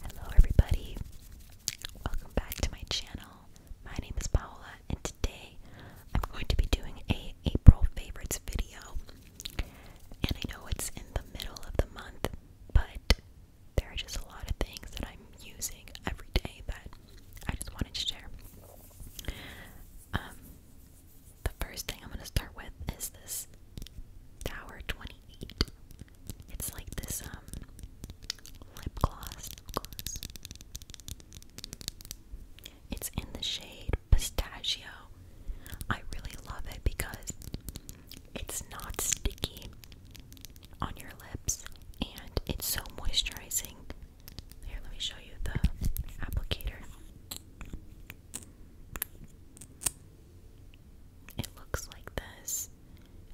Hello, everybody. Welcome back to my channel. My name is Paola, and today I'm going to be doing a April favorites video. And I know it's in the middle of the month, but there are just a lot of things that I'm using every day that I just wanted to share. Um, the first thing I'm going to start with is this Tower 28. It's like this um, lip gloss. It's in the shade pistachio. I really love it because it's not sticky on your lips and it's so moisturizing. Here, let me show you the applicator. It looks like this,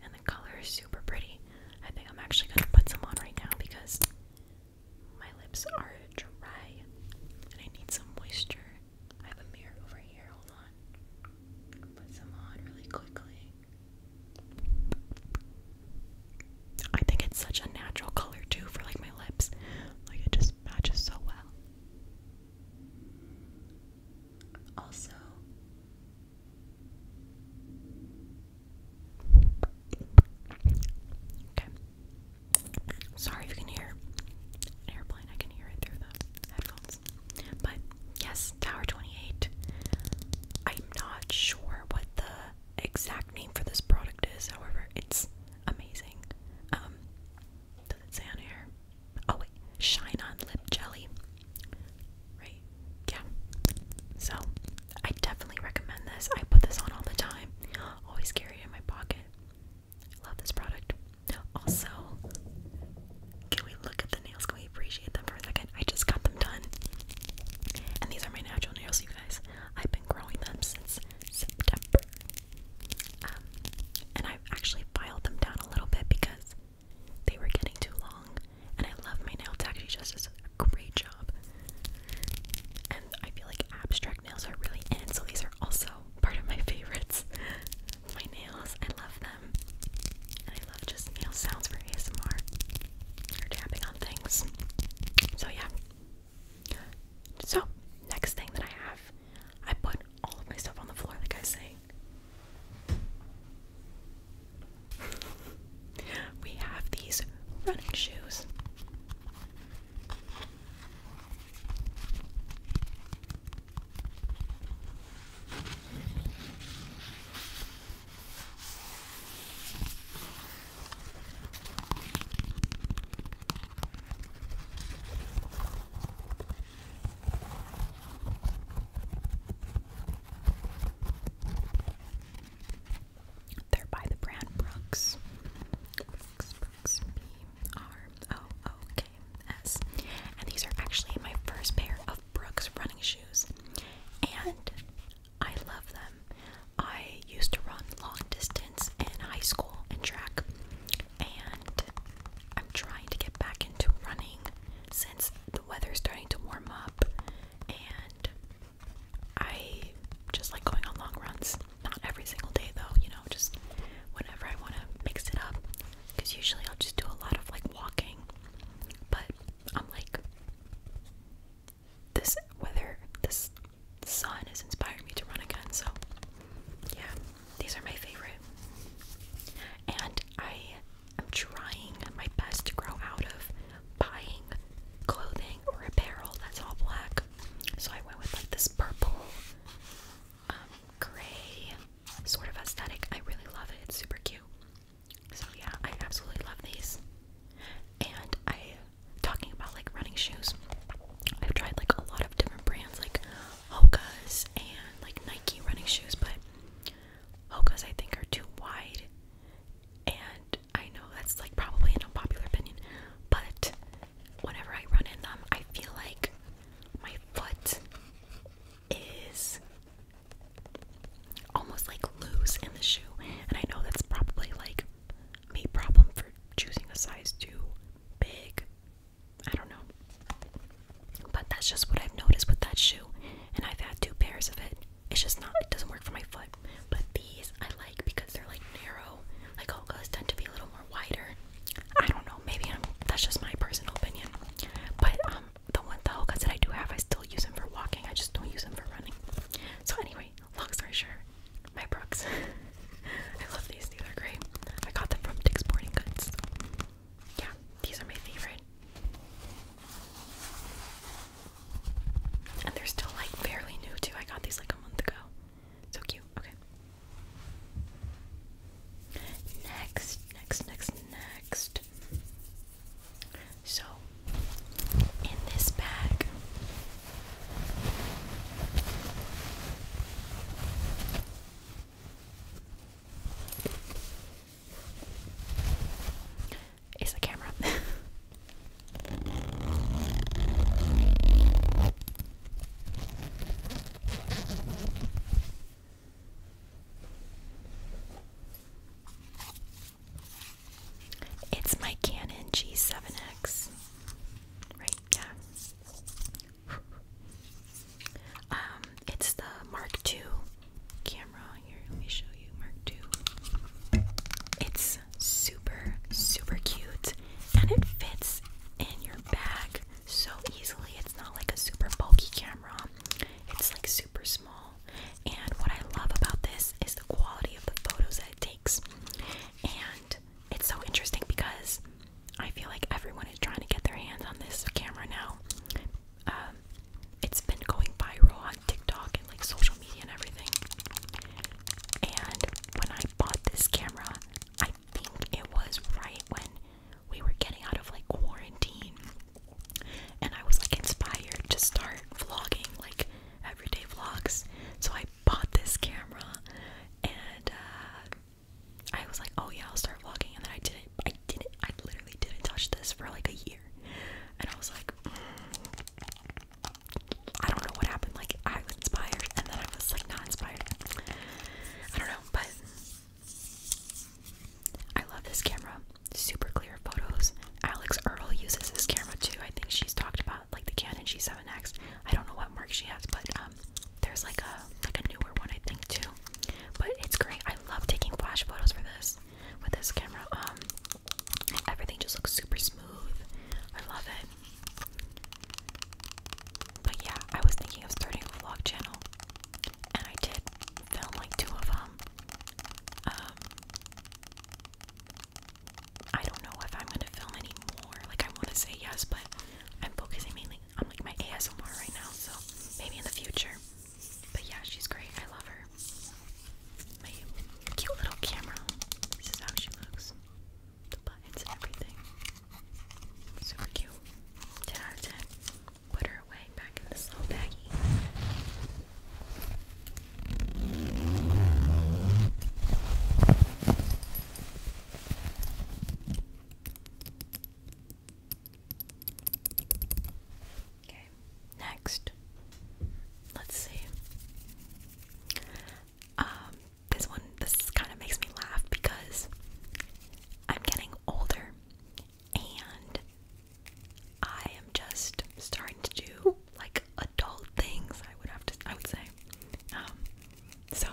and the color is super pretty. I think I'm actually gonna put some on right now because my lips are dry and I need some moisture. I have a mirror over here, hold on. Put some on really quickly. I think it's such a natural color too for like my lips. Like it just matches so well. Also, okay. Sorry if you can hear airplane. I can hear it through the headphones. But yes, Tower 28. I'm not sure what the exact name for this product is. However, it's amazing. Um, does it say on here? Oh shine on lip jelly. Right? Yeah. So I definitely recommend this. I put this on all the time. Always carry it in my pocket. Love this product. Also, can we look at the nails? Can we appreciate them for a second? I just got them done. And these are my natural nails, you guys. I've been growing them since September. Um, and I've actually filed them down a little bit because they were getting too long. And I love my nail tech, she does a great job. And I feel like abstract nails are really in, so these are also part of my favorites. my nails, I love them. And I love just nail sounds for ASMR. Or tapping on things. So yeah. So, next thing that I have, I put all of my stuff on the floor, like I say. we have these running shoes. They're by the brand Brooks. Brooks, And these are actually my first pair of Brooks running shoes. And I love them. I used to run long distance distance in high school and track, and I'm trying to get back into running since the weather's starting to warm up, and I just like going on long runs. Not every single day though, you know, just whenever I want to mix it up. Because usually I'll just do a lot of like walking, but I'm like, this weather, this sun is inspiring me to run again. So, yeah, these are my favorite. And I am trying my best to grow out of buying clothing or apparel that's all black. So I went with like this purple, um, gray sort of aesthetic. I really love it. It's super cute. So yeah, I absolutely love these. And I talking about like running shoes. I've tried like a lot of different brands like Hoka's and like Nike running shoes, but Hoka's I think are too wide. And I know that's like probably an unpopular opinion, but whenever I run in them, I feel like my foot is almost like loose in the shoe. And I know that's probably like me problem for choosing a size 2 big. I don't know. But that's just what I've noticed with that shoe. And I've had two pairs of it. It's just not, it doesn't work for my foot. But these I like because they're like narrow. Like Hoka's tend to be a little more wider. I don't know. Maybe I'm, that's just my personal opinion. But um, the one the Hoka's that I do have, I still use them for walking. I just don't use them for running. So anyway, long story short, my Brooks. I love these, these are great. I got them from Dick's Sporting Goods. Yeah, these are my favorite. And they're still like fairly new too. I got these like a month ago. So cute. Okay. Next, next, next, next. So, in this bag, is the camera. It's my Canon G7X. Right, yeah. Um, it's the Mark II camera. Here, let me show you Mark II. It's super, super cute, and it fits in your bag so easily. It's not like a super bulky camera. It's like super small. And what I love about this is the quality of the photos that it takes. And it's so interesting because I feel like everyone is trying to get their hands on this camera now. Um, it's been going viral on TikTok and like social media and everything. And when I bought this camera, I think it was right when we were getting out of like quarantine. And I was like inspired to start vlogging, like everyday vlogs. So I bought this camera and uh, I was like, oh yeah, I'll start vlogging, and then I didn't. I didn't. I literally didn't touch this for like a year, and I was like, I don't know what happened. Like I was inspired, and then I was like not inspired. I don't know, but I love this camera. Super clear photos. Alex Earl uses this camera too. I think she's talked about like the Canon G7X. I don't know what mark she has, but um, there's like a like a newer one I think too. But it's great. I love taking flash photos for this with this camera. Um, everything just looks super smooth. I love it. But yeah, I was thinking of starting a vlog channel, and I did film like two of them. Um, I don't know if I'm gonna film anymore. Like I want to say yes, but I'm focusing mainly on like my ASMR right now. So maybe in the future. But yeah, she's great. I love her. My cute little camera. This is how she looks. The buttons everything. Super cute. 10 out of 10. Put her away back in this little baggie. Okay, next. Let's see. Um, this one, this kind of makes me laugh because I'm getting older and I am just starting to do like adult things. I would have to. I would say. Um, so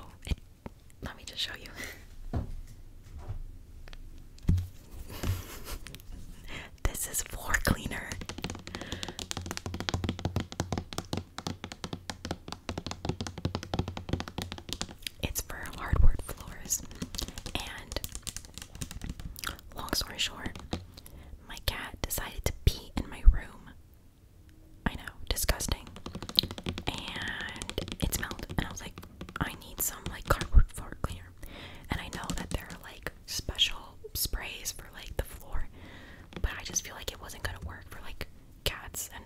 let me just show you. this is floor cleaner. It's for hardwood floors. And long story short, my cat decided to be in my room I know, disgusting. And it smelled. And I was like, I need some like cardboard floor cleaner. And I know that there are like special sprays for like the floor, but I just feel like it wasn't gonna work for like cats and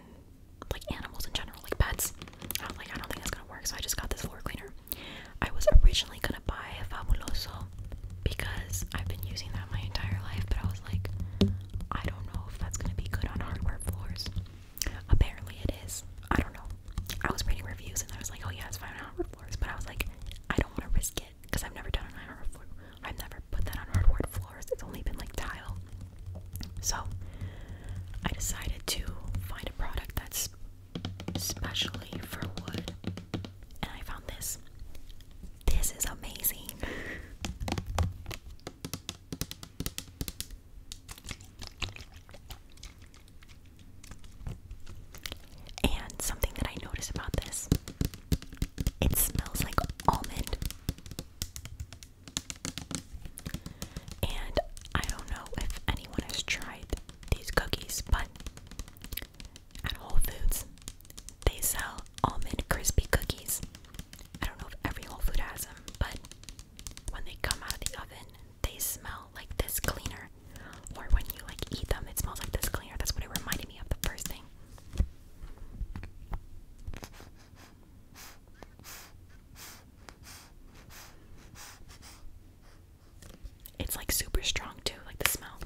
like animals in general, like pets. I don't like I don't think it's gonna work, so I just got this floor cleaner. I was originally gonna buy Fabuloso because I've been using that my entire life, but I was like, I don't know if that's gonna be good on hardware floors. Apparently it is. I don't know. I was reading reviews and I was like, oh yeah, it's fine on hardwood floors, but I was like, I don't want to risk it because I've never done it on hardwood floor. I've never put that on hardwood floors. It's only been like tile. So I decided to find a product that's specially for wood, and I found this. This is amazing. And something that I notice about this, it smells like almond. And I don't know if anyone has tried these cookies, but at Whole Foods, they sell almond crispy cookies. I don't know if every Whole Food has them, but when they come out of the oven, they smell like this cleaner. Or when you like eat them, it smells like this cleaner. That's what it reminded me of the first thing. It's like super strong too, like the smell.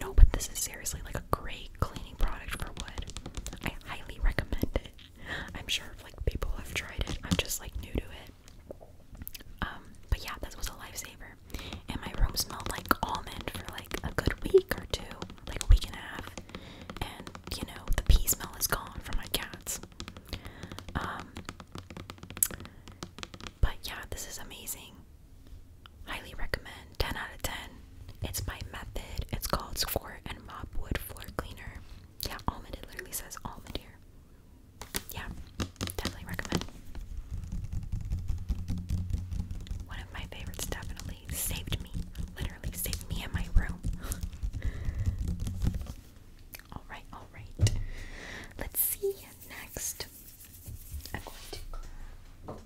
No, but this is seriously like a great cleaning product for wood. I highly recommend it. I'm sure like people have tried it. I'm just like new to it. Um, but yeah, this was a lifesaver. And my room smelled like almond for like a good week or two like a week and a half, and you know, the pee smell is gone from my cats. Um, but yeah, this is amazing. Highly recommend 10 out of 10. It's my method, it's called Squirt and Mop Floor Cleaner. Yeah, almond, it literally says almond here. Yeah, definitely recommend. One of my favorites definitely saved me literally saved me in my room. alright, alright. Let's see next. I'm going to.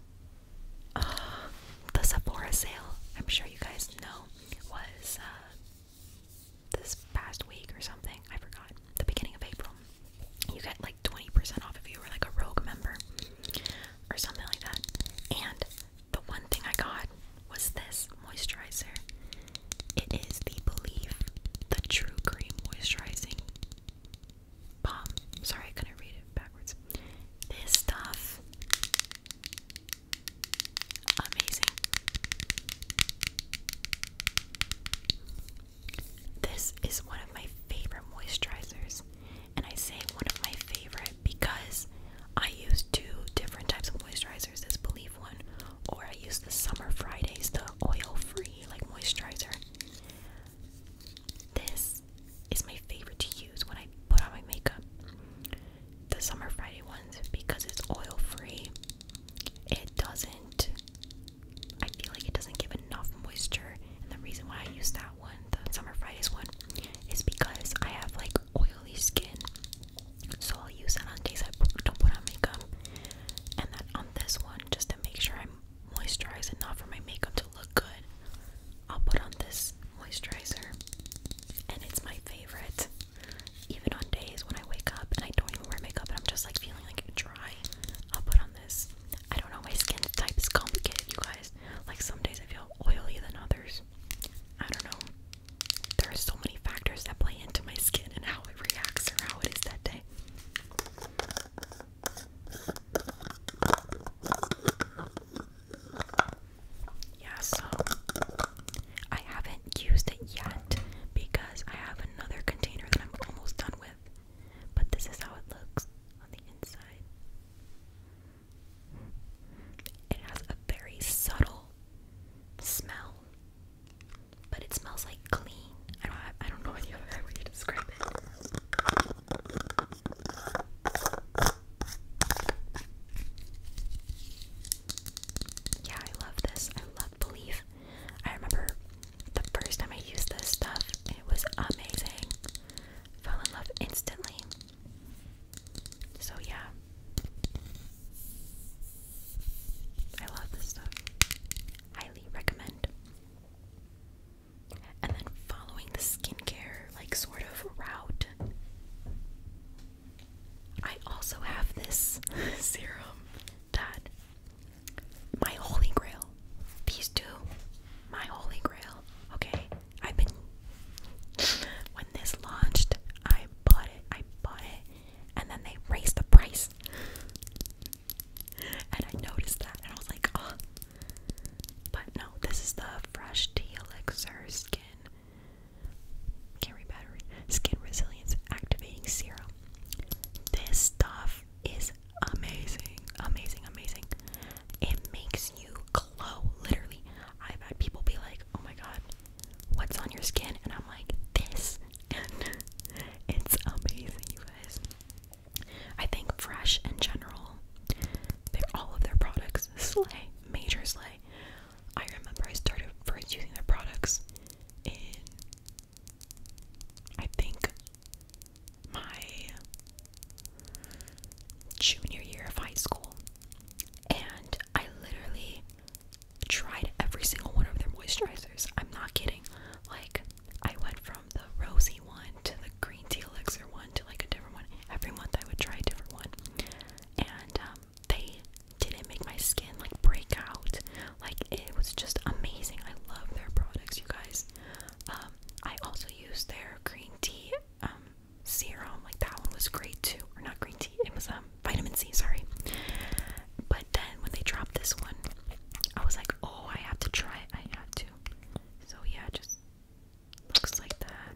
Ah, the Sephora sale, I'm sure you guys know, was uh, this past week or something. I forgot. The beginning of April. You get like 20% off if you were like a rogue member or something like that. And the one thing I got was this moisturizer. It is the belief, the True Cream Moisturizing Balm. Sorry, I couldn't read it backwards. This stuff. Amazing. This is one of my favorite moisturizers and I say one of my favorite because I use two different types of moisturizers, this Believe one, or I use the Summer Fridays, the oil-free like moisturizer. This is my favorite to use when I put on my makeup. The Summer Friday ones because it's oil-free. It doesn't I feel like it doesn't give enough moisture and the reason why I use that one, the Summer Fridays one, is because I have like oily skin. So I'll use that on days I don't put on makeup. And then on this one, just to make sure i moisturize moisturized enough for my makeup to look good, I'll put on this moisturizer. And it's my favorite. Even on days when I wake up and I don't even wear makeup and I'm just like feeling like dry, I'll put on this. I don't know, my skin type is complicated, you guys. Like some days I feel oily than others. I don't know. There are so many factors that play into my skin and how it reacts or how it is that day. Yeah, I haven't used it yet because I have another container that I'm almost done with. But this is how it looks on the inside. It has a very subtle smell, but it smells like clean. I don't, I don't know any other way to describe it. Yeah, I love this. I love Believe. I remember the first time I used this stuff, it was amazing fell in love instantly. So, yeah. I love this stuff. Highly recommend. And then following the skincare, like, sort of route, I also have this serum that my holy grail. These two, my holy grail. Okay, I've been when this launched, I bought it, I bought it, and then they raised the price. And I noticed that and I was like, oh but no, this is the fresh tea elixir skin carry battery skin resilience activating serum. This stuff is amazing, amazing, amazing. It makes you glow, literally. I've had people be like, oh my god, what's on your skin? And I'm like, this. And it's amazing, you guys. I think Fresh in general, they are all of their products slay, major slay. I remember I started first using their products in, I think, my junior year of high school, and I literally tried every single one of their moisturizers. I'm not kidding. Like, I went from the rosy one to the green tea elixir one to like a different one. Every month I would try a different one, and um, they didn't make my skin like break out. Like, it was just amazing. I love their products, you guys. Um, I also used their green tea um, serum. Like that one was great too, or not green tea. It was um vitamin C. Sorry. But then when they dropped this one, I was like, oh, I have to try it. I have to. So yeah, just looks like that.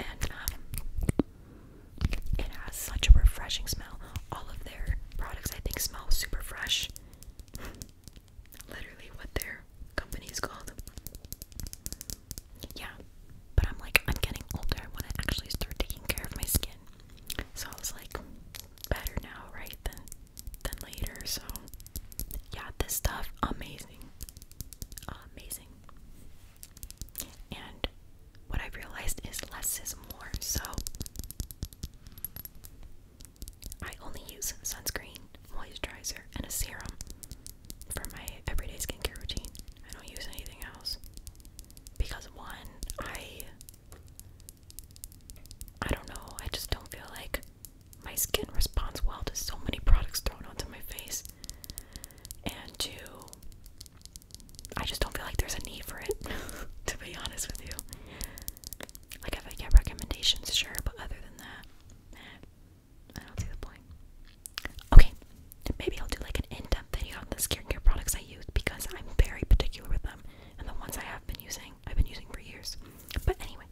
And um, it has such a refreshing smell. All of their products, I think, smell super fresh. Literally what their company called. Yeah, but I'm like, I'm getting older. I want to actually start taking care of my skin. So I was like, better now, right, than, than later. So yeah, this stuff, amazing. Amazing. And what I realized is less is more. So I only use sunscreen, moisturizer, and a serum for my everyday skincare routine. I don't use anything else because one, I I don't know, I just don't feel like my skin responds well to so many products thrown onto my face. And two, I just don't feel like there's a need for it, to be honest with you. Like, if I get recommendations, sure, but other than that, I don't see the point. Okay, maybe I'll do like an in depth video on the skincare products I use because I'm very particular with them and the ones I have been using, I've been using for years. But anyway,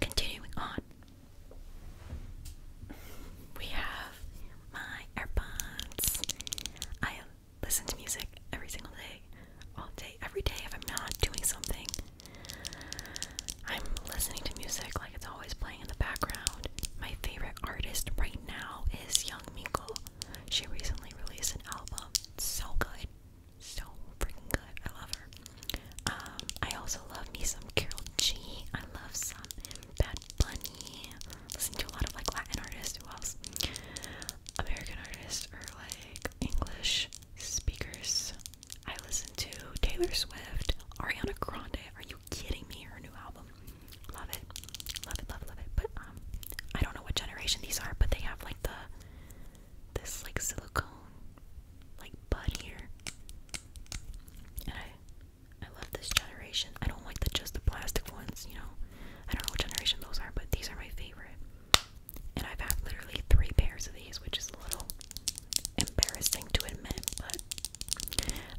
continuing on, we have my AirPods. I listen to music every single day, all day, every day. If I'm not doing something, I'm listening to music like it's always playing in the background. My favorite artist right now is Young Miko. She recently released an album. so good. So freaking good. I love her. Um, I also love me some Carol G. I love some Bad Bunny. Listen to a lot of like Latin artists. Who else? American artists or like English speakers. I listen to Taylor Swift, Ariana Grande. Are you kidding me? Her new album. Love it. Love it, love love it. But um I don't know what generation these are, but they have like the this like silicone like bud here. And I I love this generation. I don't like the just the plastic ones, you know. I don't know what generation those are, but these are my favorite. And I've had literally three pairs of these, which is a little embarrassing to admit, but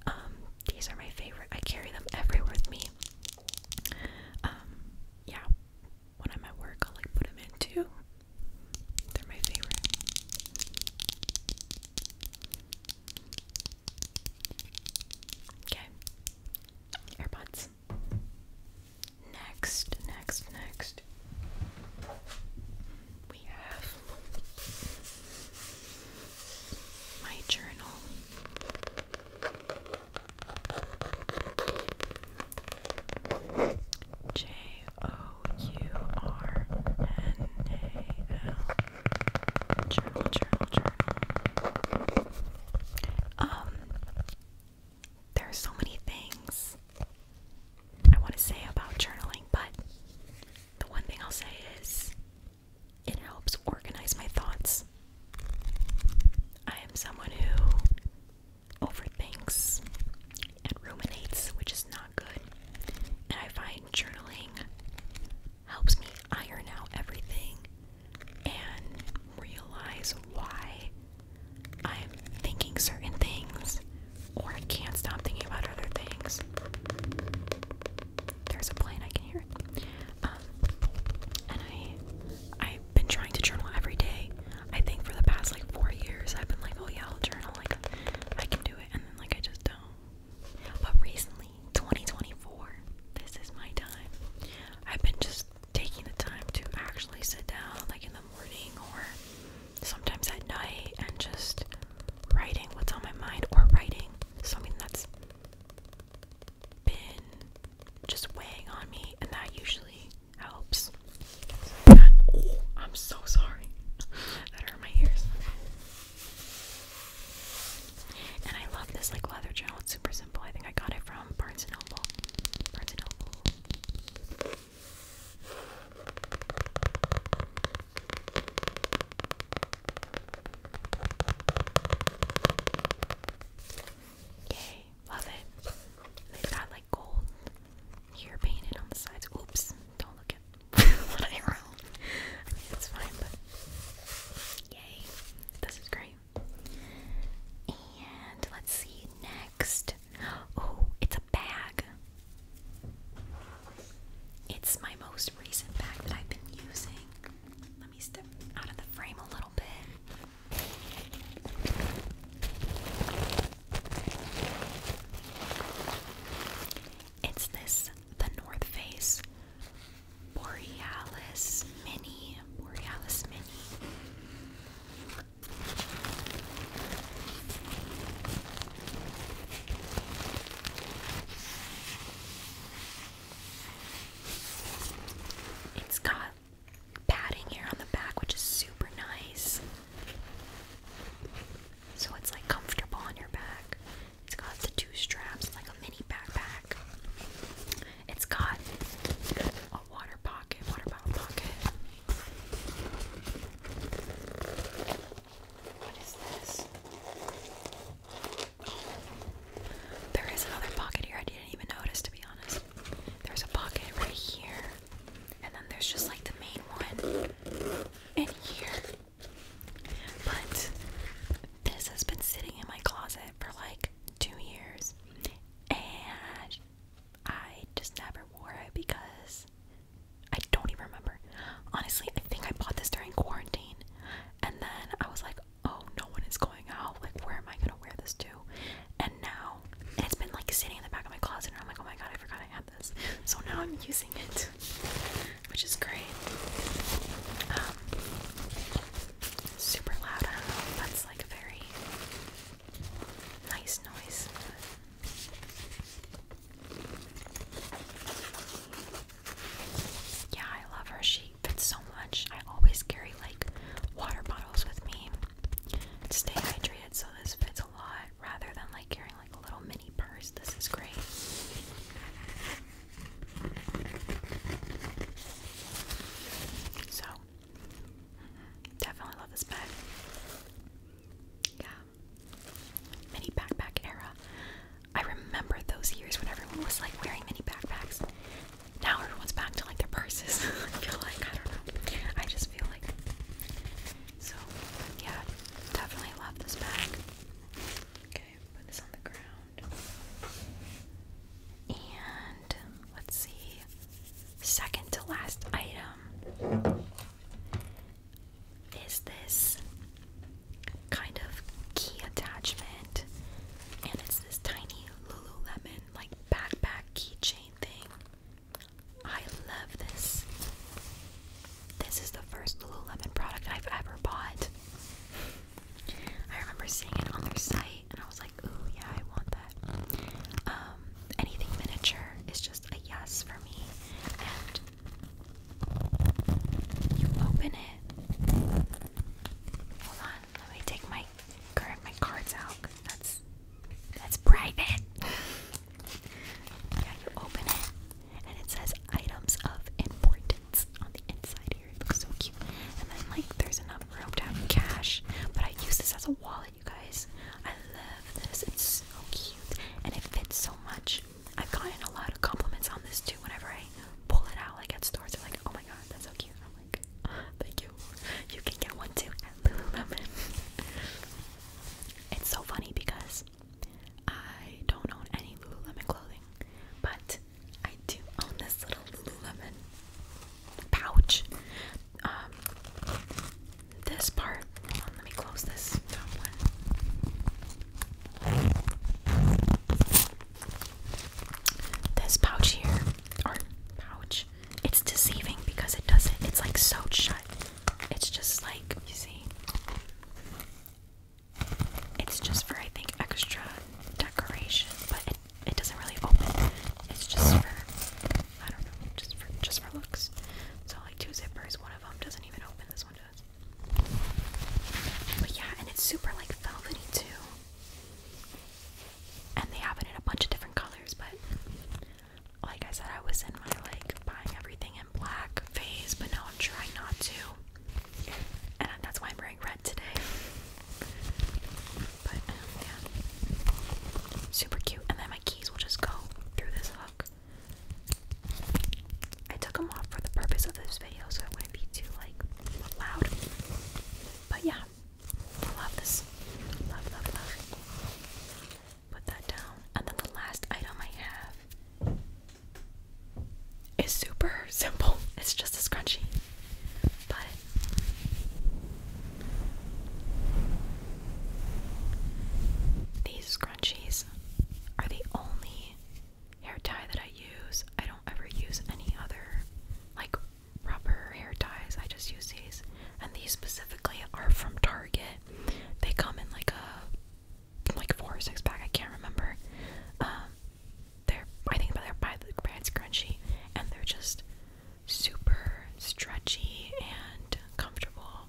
um, these are my favorite. I carry them everywhere with me. Um, yeah, when I'm at work, I'll like put them in too. They're my favorite. Okay, AirPods. Next, next, next, we have my journal. J O U R N A L Journal Journal Journal um, there are so many things I want to say about journaling, but the one thing I'll say is it helps organize my thoughts. I am someone who overthinks and ruminates, which is not good. And I find journaling helps me iron out everything and realize why I'm thinking certain things or I can't stop thinking about other things. There's a plane, I can hear um, and I, I've been trying to journal every day. I think for the past like four years, I've been like, oh yeah, I'll journal, like I can do it, and then like I just don't. But recently, 2024. This is my time. I've been just taking the time to actually sit down, like in the morning or sometimes at night, and just writing what's on my mind or writing something that's been just weighing on me, and that usually helps. I'm so sorry. that hurt my ears. And I love this like leather journal. It's super simple. I think I got it from Barnes and Noble. Barnes and Noble. Yay, love it. They've got like gold here painted on the sides. Oops, don't look at what I wrote. I mean, it's fine, but yay, this is great. And let's see next. Oh, it's a bag. It's my most recent bag that I've been using. Let me step out of the frame a little bit. It's this, the North Face Borealis Mini. Borealis Mini. It's got padding here on the back, which is super nice. So it's like comfortable on your back. It's got the two straps, like a mini backpack. It's got a water pocket, water bottle pocket. What is this? There is another pocket here. I didn't even notice, to be honest. There's a pocket right here, and then there's just like the main one in here. But this has been sitting in my closet for like two years, and I just never wore it because I don't even remember. Honestly, I think I bought this during quarantine, and then I was like, oh, no one is going out. Like, where am I gonna wear this to? And now it's been like sitting in the back of my closet, and I'm like, oh my god, I forgot I had this. So now I'm using it, which is great. Um, super loud. I don't know. That's like a very nice noise. Yeah, I love her. She fits so much. I always carry like water bottles with me to stay hydrated, so this fits a lot rather than like carrying like a little mini purse. This is great. So, definitely love this bag. Yeah. Mini backpack era. I remember those years when everyone was like wearing mini backpacks. Now everyone's back to like their purses. I feel like, I don't know. I just feel like. So, yeah, definitely love this bag. Okay, put this on the ground. And let's see, second to last item is this kind of key attachment, and it's this tiny Lululemon like backpack keychain thing. I love this. This is the first Lululemon product I've ever bought. I remember seeing it on their site and I was like, ooh, yeah, I want that. Um, anything miniature is just a yes for me. And you open it. Hold on, let me take my card, my cards out. Cause that's that's private. yeah, you open it and it says items of importance on the inside here. It looks so cute. And then like there's enough room to have cash, but I use this as a wallet, you guys. I love this. It's so cute and it fits so much. I've gotten a lot of compliments on this too. Whenever I pull it out, like at stores, they're like, "Oh my god, that's so cute." I'm like, ah, "Thank you. You can get one too at Lululemon." it's so funny because I don't own any Lululemon clothing, but I do own this little Lululemon pouch. Um, this part, let me close this This pouch here, or pouch, it's deceiving because it doesn't, it's like so shut. It's just like, you see, it's just for I think extra decoration, but it, it doesn't really open. It's just for I don't know, just for just for looks. It's only two zippers, one of them doesn't even open. This one does. But yeah, and it's super like velvety too. And they have it in a bunch of different colors, but like I said, I was in my like buying everything in black phase, but now I'm trying not to. And that's why I'm wearing red today. But um, yeah, super cute. And then my keys will just go through this hook. I took them off for the purpose of this video, so it wouldn't be too like loud. But yeah, I love this. Love, love, love. Put that down. And then the last item I have it's super simple. It's just a scrunchie. But these scrunchies are the only hair tie that I use. I don't ever use any other like rubber hair ties. I just use these. And these specifically are from Target. They come in like a like four or six pack, I can't remember. Um, they're I think they by the brand's Crunchy, and they're just super stretchy and comfortable.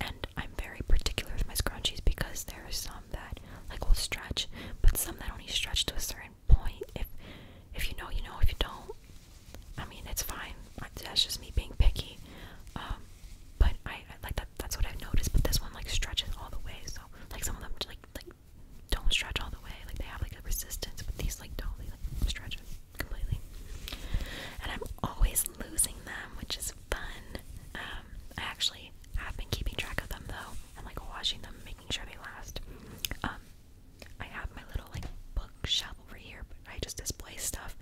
And I'm very particular with my scrunchies because there are some that like will stretch, but some that only stretch to a certain point. If if you know, you know. If you don't, I mean, it's fine. That's just me being picky. Um, but I, like that that's what I've noticed. But this one like stretches all the way, so like some of them like like don't stretch all the way. Like they have like a resistance, but these like don't. They like stretch completely. And I'm always losing them, which is fun. Um, I actually have been keeping track of them though, and like washing them, making sure they last. Um, I have my little like bookshelf over here, but I just display stuff.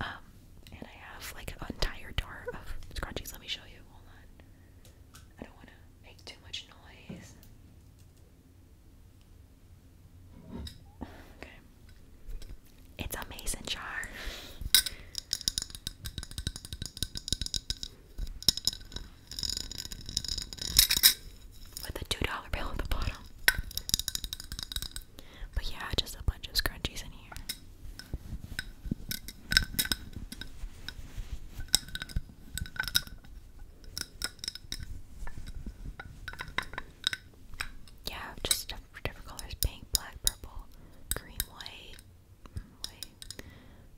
Um, and I have like an entire jar of scrunchies. Let me show you. Hold on. I don't want to make too much noise. Okay. It's a mason jar. With a two dollar bill at the bottom. But yeah, just a bunch of scrunchies in here. Yeah, just different, colors pink, black, purple, green, white, white,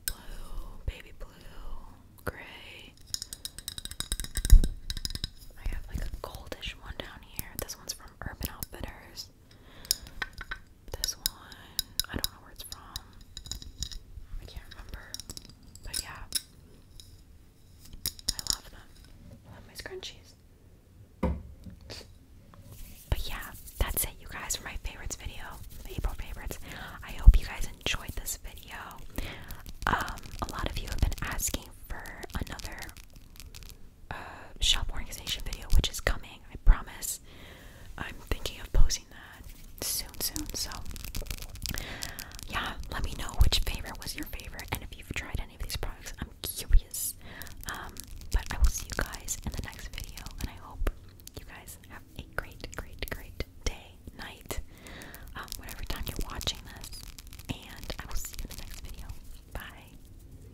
blue, baby blue, gray. I have like a goldish one down here. This one's from Urban Outfitters. This one, I don't know where it's from. I can't remember. But yeah. I love them. I love my scrunchies. But yeah, that's it you guys for my favorites video. April favorites. I hope you guys enjoyed this video. Um, a lot of you have been asking for another uh, shop organization video, which is coming. I promise. I'm thinking of posting that soon, soon. So, yeah, let me know which favorite was your favorite, and if you've tried any of these products, I'm curious. Um, but I will see you guys in the next video, and I hope you guys have a great, great, great day, night, um, whatever time you're watching this. And I will see you in the next video. Bye.